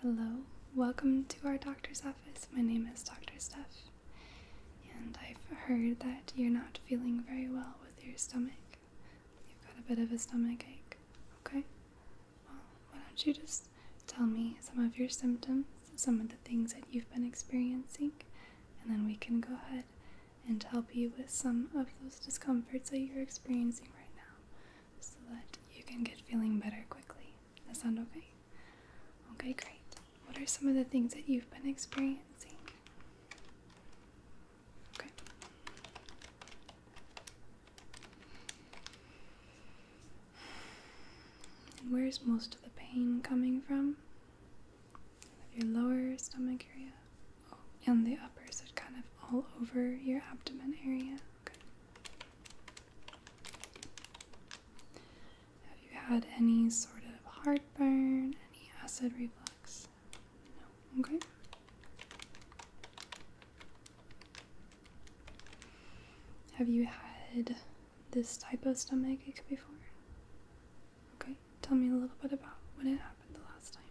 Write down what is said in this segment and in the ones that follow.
Hello, welcome to our doctor's office. My name is Dr. Steph, and I've heard that you're not feeling very well with your stomach. You've got a bit of a stomach ache, okay? Well, why don't you just tell me some of your symptoms, some of the things that you've been experiencing, and then we can go ahead and help you with some of those discomforts that you're experiencing right now so that you can get feeling better quickly. That sound okay? Okay, great. What are some of the things that you've been experiencing? Okay. where's most of the pain coming from? Your lower stomach area oh, and the upper, so kind of all over your abdomen area. Okay. Have you had any sort of heartburn, any acid reflux? No. Okay. Have you had this type of stomach ache before? Okay, tell me a little bit about when it happened the last time.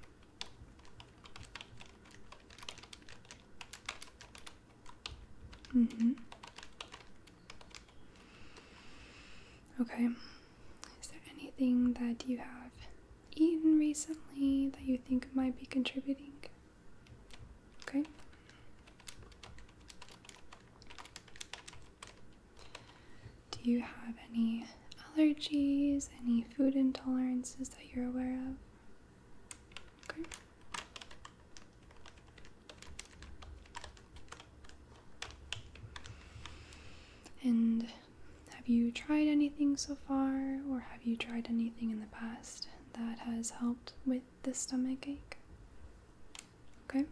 Mm-hmm. Okay. Is there anything that you have eaten recently that you think might be contributing? Okay. Do you have any allergies, any food intolerances that you're aware of? Okay. And have you tried anything so far, or have you tried anything in the past that has helped with the stomach ache? Okay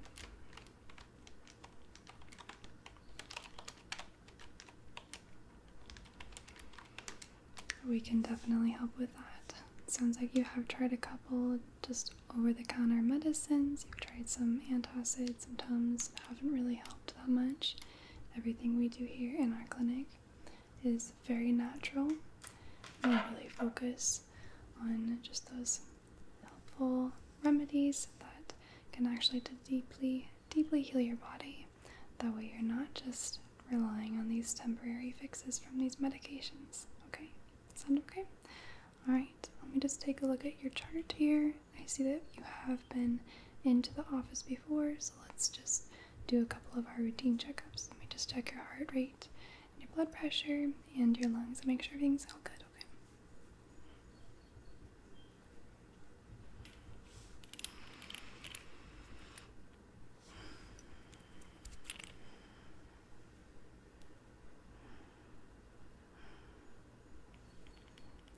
we can definitely help with that. Sounds like you have tried a couple just over the counter medicines. You've tried some antacids, some Tums, haven't really helped that much. Everything we do here in our clinic is very natural. We really focus on just those helpful remedies that can actually deeply, deeply heal your body. That way, you're not just relying on these temporary fixes from these medications. Okay? Sound okay? Alright, let me just take a look at your chart here. I see that you have been into the office before, so let's just do a couple of our routine checkups. Let me just check your heart rate, your blood pressure, and your lungs and make sure everything's all good, okay?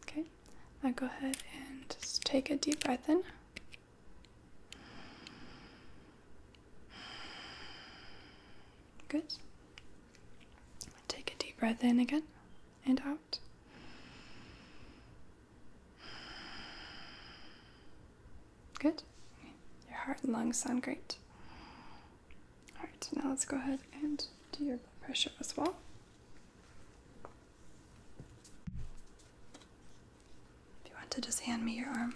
Okay, now go ahead and just take a deep breath in. Good. Take a deep breath in again and out. Good. Your heart and lungs sound great. All right, now let's go ahead and do your blood pressure as well. If you want to just hand me your arm.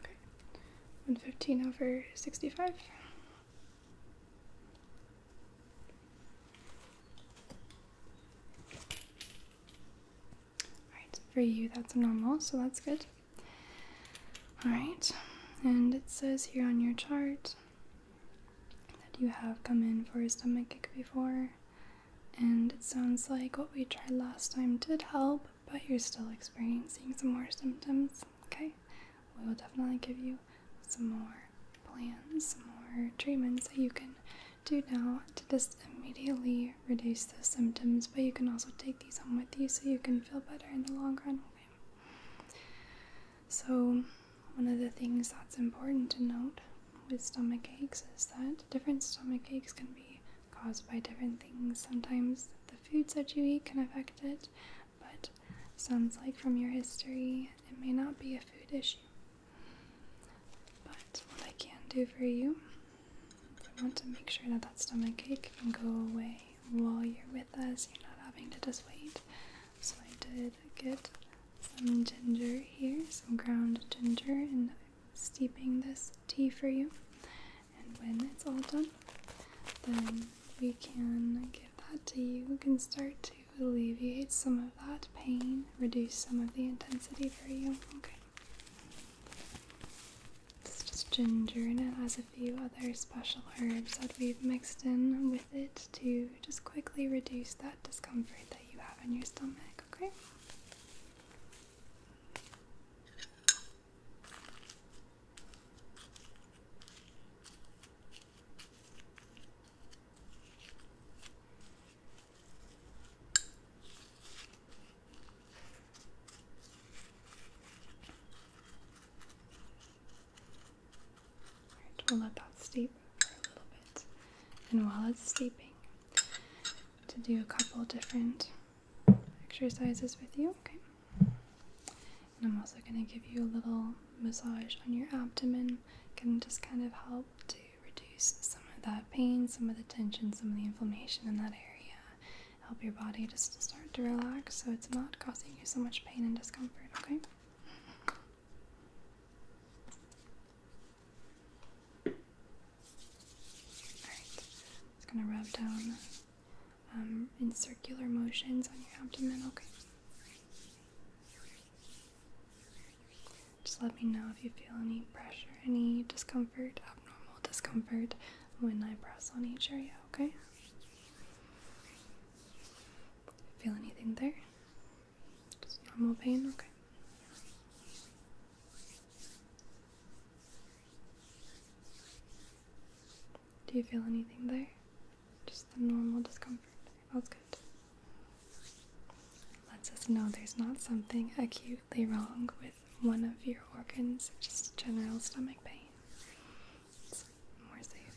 Okay, 115 over 65. Alright, for you that's normal, so that's good. Alright, and it says here on your chart that you have come in for a stomach ache before. And it sounds like what we tried last time did help, but you're still experiencing some more symptoms, okay? We will definitely give you some more plans, some more treatments that you can do now to just immediately reduce those symptoms, but you can also take these home with you so you can feel better in the long run. So, one of the things that's important to note with stomach aches is that different stomach aches can be caused by different things. Sometimes the foods that you eat can affect it, but sounds like from your history, it may not be a food issue. But what I can do for you, I want to make sure that that stomach ache can go away while you're with us. You're not having to just wait. So I did get some ginger here, some ground ginger, and steeping this tea for you. And when it's all done, then we can give that to you. We can start to alleviate some of that pain, reduce some of the intensity for you. Okay. It's just ginger and it has a few other special herbs that we've mixed in with it to just quickly reduce that discomfort that you have in your stomach, okay? we'll let that steep for a little bit. And while it's steeping, to do a couple different exercises with you. Okay. And I'm also going to give you a little massage on your abdomen. Can just kind of help to reduce some of that pain, some of the tension, some of the inflammation in that area. Help your body just to start to relax so it's not causing you so much pain and discomfort, okay? Alright, it's gonna rub down um, in circular motions on your abdomen, okay? Just let me know if you feel any pressure, any discomfort, abnormal discomfort when I press on each area, okay? Feel anything there? Just normal pain, okay? Do you feel anything there? Just the normal discomfort. That's good. Lets us know there's not something acutely wrong with one of your organs, just general stomach pain. more safe.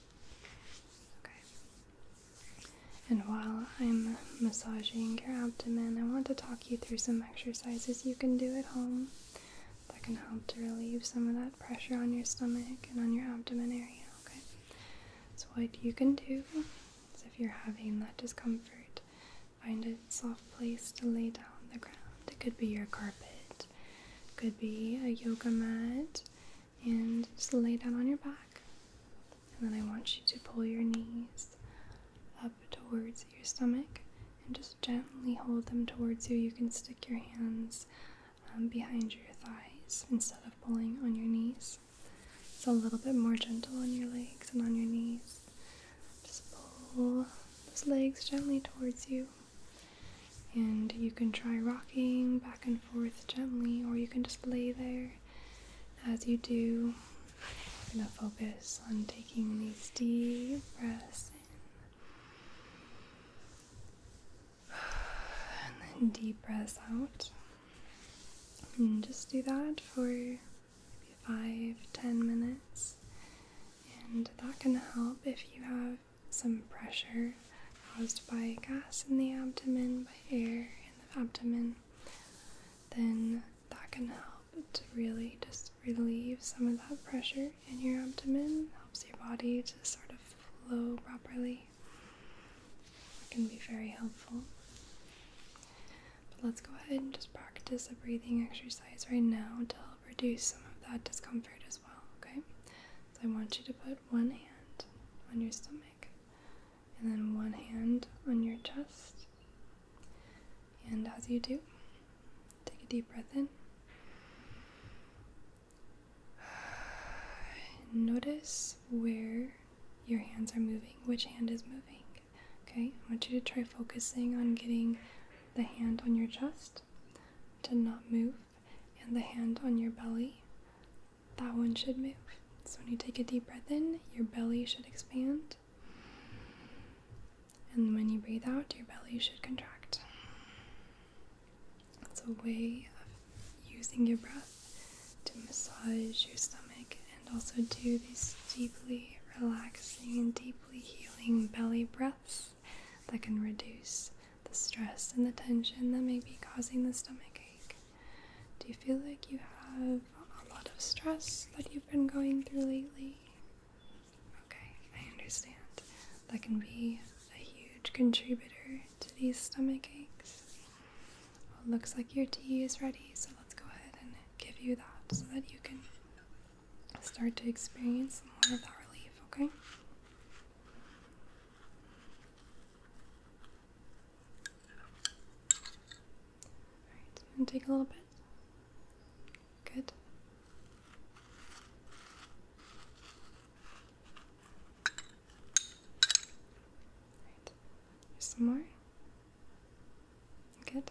Okay. And while I'm massaging your abdomen, I want to talk you through some exercises you can do at home that can help to relieve some of that pressure on your stomach and on your abdomen area. Okay. So, what you can do is if you're having that discomfort, find a soft place to lay down on the ground. It could be your carpet, it could be a yoga mat and just lay down on your back. And then I want you to pull your knees up towards your stomach and just gently hold them towards you. You can stick your hands um, behind your thighs instead of pulling on your knees. It's a little bit more gentle on your legs and on your knees. Just pull those legs gently towards you. And you can try rocking back and forth gently, or you can just lay there as you do. I'm going to focus on taking these deep breaths and then deep breaths out. And just do that for maybe five, ten minutes. And that can help if you have some pressure caused by gas in the abdomen, by air in the abdomen, then that can help to really just relieve some of that pressure in your abdomen, helps your body to sort of flow properly. It can be very helpful. But let's go ahead and just practice a breathing exercise right now to help reduce some of that discomfort as well, okay? So I want you to put one hand on your stomach, and then one hand on your chest. And as you do, take a deep breath in. Notice where your hands are moving, which hand is moving. Okay, I want you to try focusing on getting the hand on your chest to not move and the hand on your belly that one should move. So when you take a deep breath in, your belly should expand. And when you breathe out, your belly should contract. It's a way of using your breath to massage your stomach and also do these deeply relaxing and deeply healing belly breaths that can reduce the stress and the tension that may be causing the stomach ache? Do you feel like you have a lot of stress that you've been going through lately? Okay, I understand. That can be a huge contributor to these stomach aches. looks like your tea is ready, so let's go ahead and give you that so that you can start to experience more of that relief, okay? Alright, take a little bit. Good. Right. some more. Good.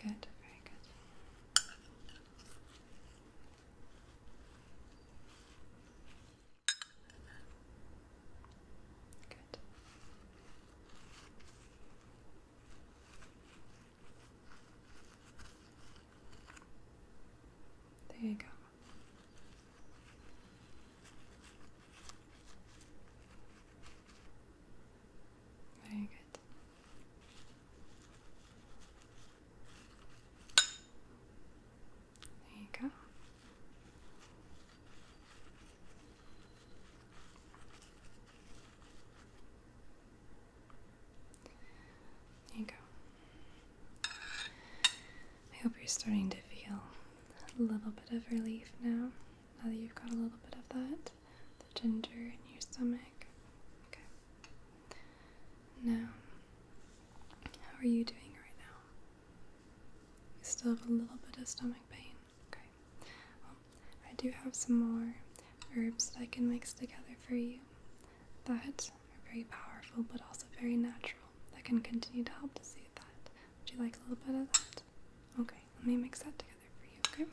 Good, very good. Good. There you go. Very good. There you go. There you go. I hope you're starting to feel a little bit of relief now, now that you've got a little bit of that, the ginger in your stomach. Okay. Now, how are you doing right now? You still have a little bit of stomach pain. Okay. Well, I do have some more herbs that I can mix together for you that are very powerful but also very natural that can continue to help to see that. Would you like a little bit of that? Okay, let me mix that together for you, okay?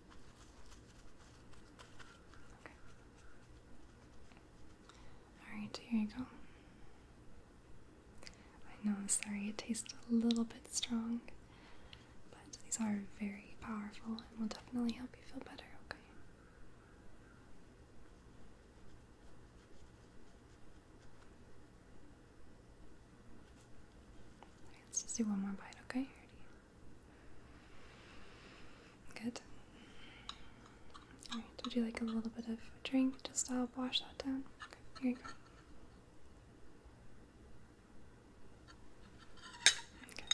Alright, here you go. I know, I'm sorry, it tastes a little bit strong, but these are very powerful and will definitely help you feel better, okay? let's just do one more bite, okay? Good. Alright, would you like a little bit of a drink just to uh, help wash that down? Okay, here you go. Okay.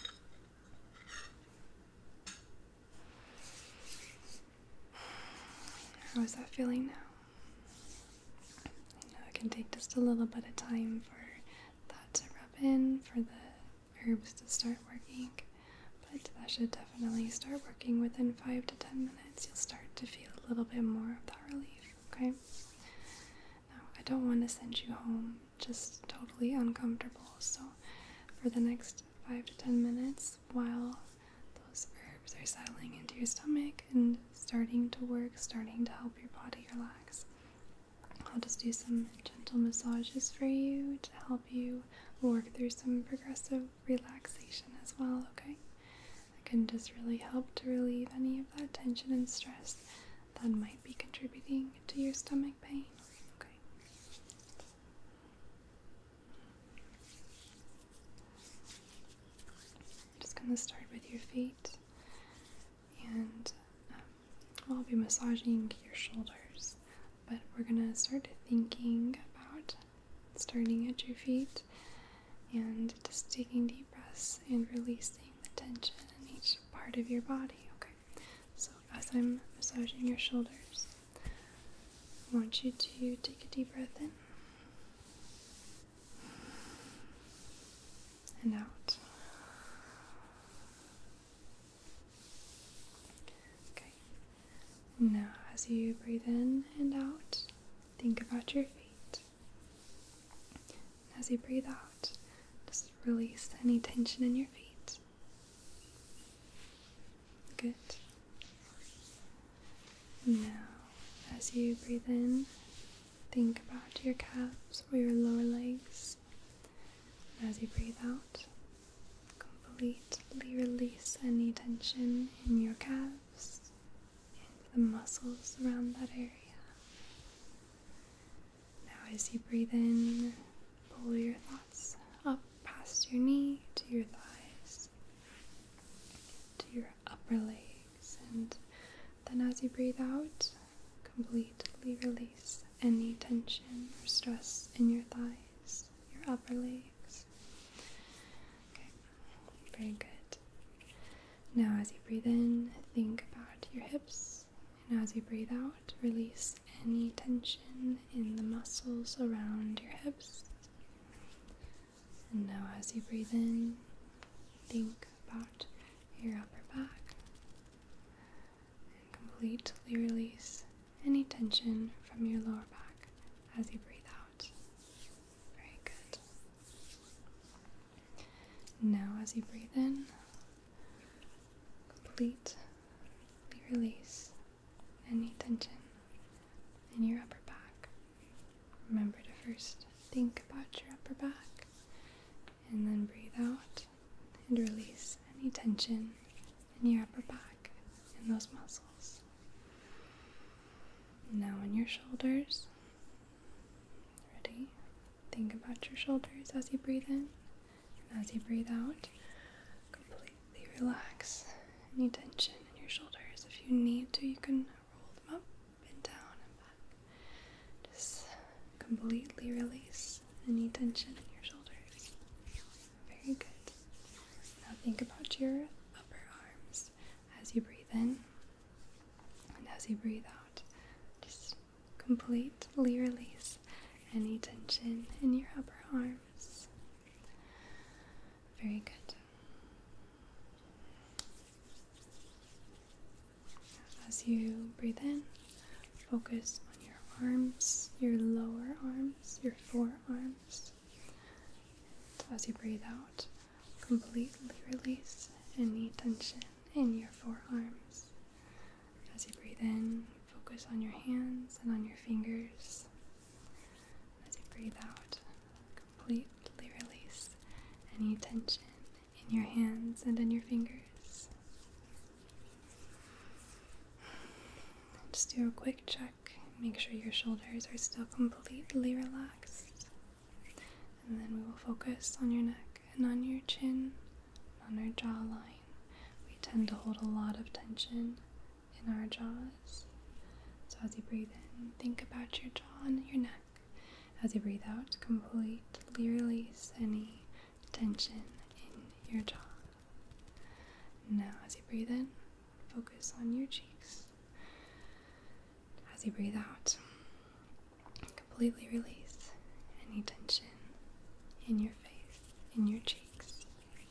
How is that feeling now? I it can take just a little bit of time for that to rub in, for the herbs to start working, but that should definitely start working within 5 to 10 minutes. You'll start to feel a little bit more of the relief, okay? Now, I don't want to send you home just totally uncomfortable, so for the next 5 to 10 minutes while those herbs are settling into your stomach and starting to work, starting to help your body relax. I'll just do some gentle massages for you to help you work through some progressive relaxation as well, okay? That can just really help to relieve any of that tension and stress that might be contributing to your stomach pain, okay? just gonna start with your feet and um, I'll be massaging your shoulders. But we're gonna start thinking about starting at your feet and just taking deep breaths and releasing the tension in each part of your body. Okay, so as I'm massaging your shoulders, I want you to take a deep breath in and out. Okay. Now, as you breathe in and out, think about your feet. As you breathe out, just release any tension in your feet. Good. Now, as you breathe in, think about your calves or your lower legs. As you breathe out, completely release any tension in your calves and the muscles around that area. Now, as you breathe in, pull your thoughts up past your knee to your thighs, to your upper legs, and then as you breathe out, completely release any tension or stress in your thighs, your upper legs. Okay, very good. Now, as you breathe in, think about your hips, and as you breathe out, release any tension in the muscles around your hips. And now, as you breathe in, think about your upper back and completely release any tension from your lower back as you breathe out. Very good. Now, as you breathe in, completely release any tension in your upper back. Remember to first think about your upper back and then breathe out and release any tension in your upper back and those muscles. Now, on your shoulders, ready? Think about your shoulders as you breathe in and as you breathe out. Completely relax any tension in your shoulders. If you need to, you can roll them up and down and back. Just completely release any tension in your shoulders. Very good. Now think about your upper arms as you breathe in and as you breathe out. Just completely release any tension in your upper arms. Very good. As you breathe in, focus on your arms, your lower arms, your forearms. as you breathe out, completely release any tension in your forearms. As you breathe in, focus on your hands and on your fingers. As you breathe out, completely release any tension in your hands and in your fingers. Just do a quick check, make sure your shoulders are still completely relaxed. And then we will focus on your neck and on your chin, on our jawline. We tend to hold a lot of tension in our jaws. So as you breathe in, think about your jaw and your neck. As you breathe out, completely release any tension in your jaw. Now, as you breathe in, focus on your cheeks. As you breathe out, completely release any tension in your face, in your cheeks.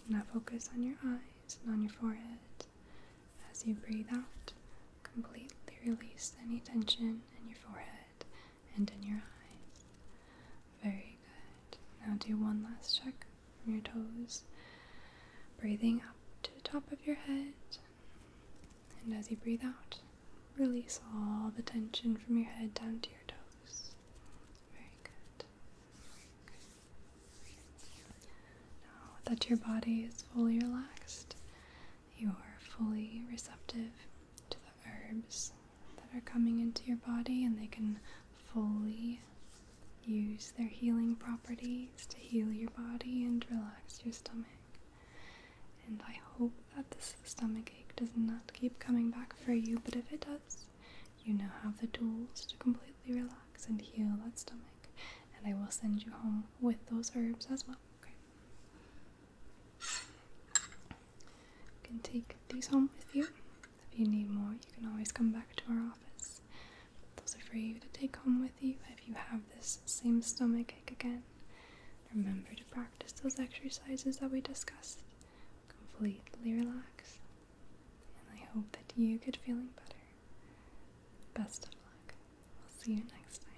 Now, focus on your eyes and on your forehead. As you breathe out, completely release any tension in your forehead and in your eyes. Very good. Now do one last check from your toes, breathing up to the top of your head. And as you breathe out, release all the tension from your head down to your toes. Very good. Now that your body is fully relaxed, you are fully receptive to the herbs that are coming into your body and they can fully use their healing properties to heal your body and relax your stomach. And I hope that this stomach ache does not keep coming back for you, but if it does, you now have the tools to completely relax and heal that stomach. And I will send you home with those herbs as well. Okay. You can take these home with you. If you need more, you can always come back to our office. Those are for you to take home with you if you have this same stomach ache again. Remember to practice those exercises that we discussed. Completely relax. And I hope that you get feeling better. Best of luck. we will see you next time.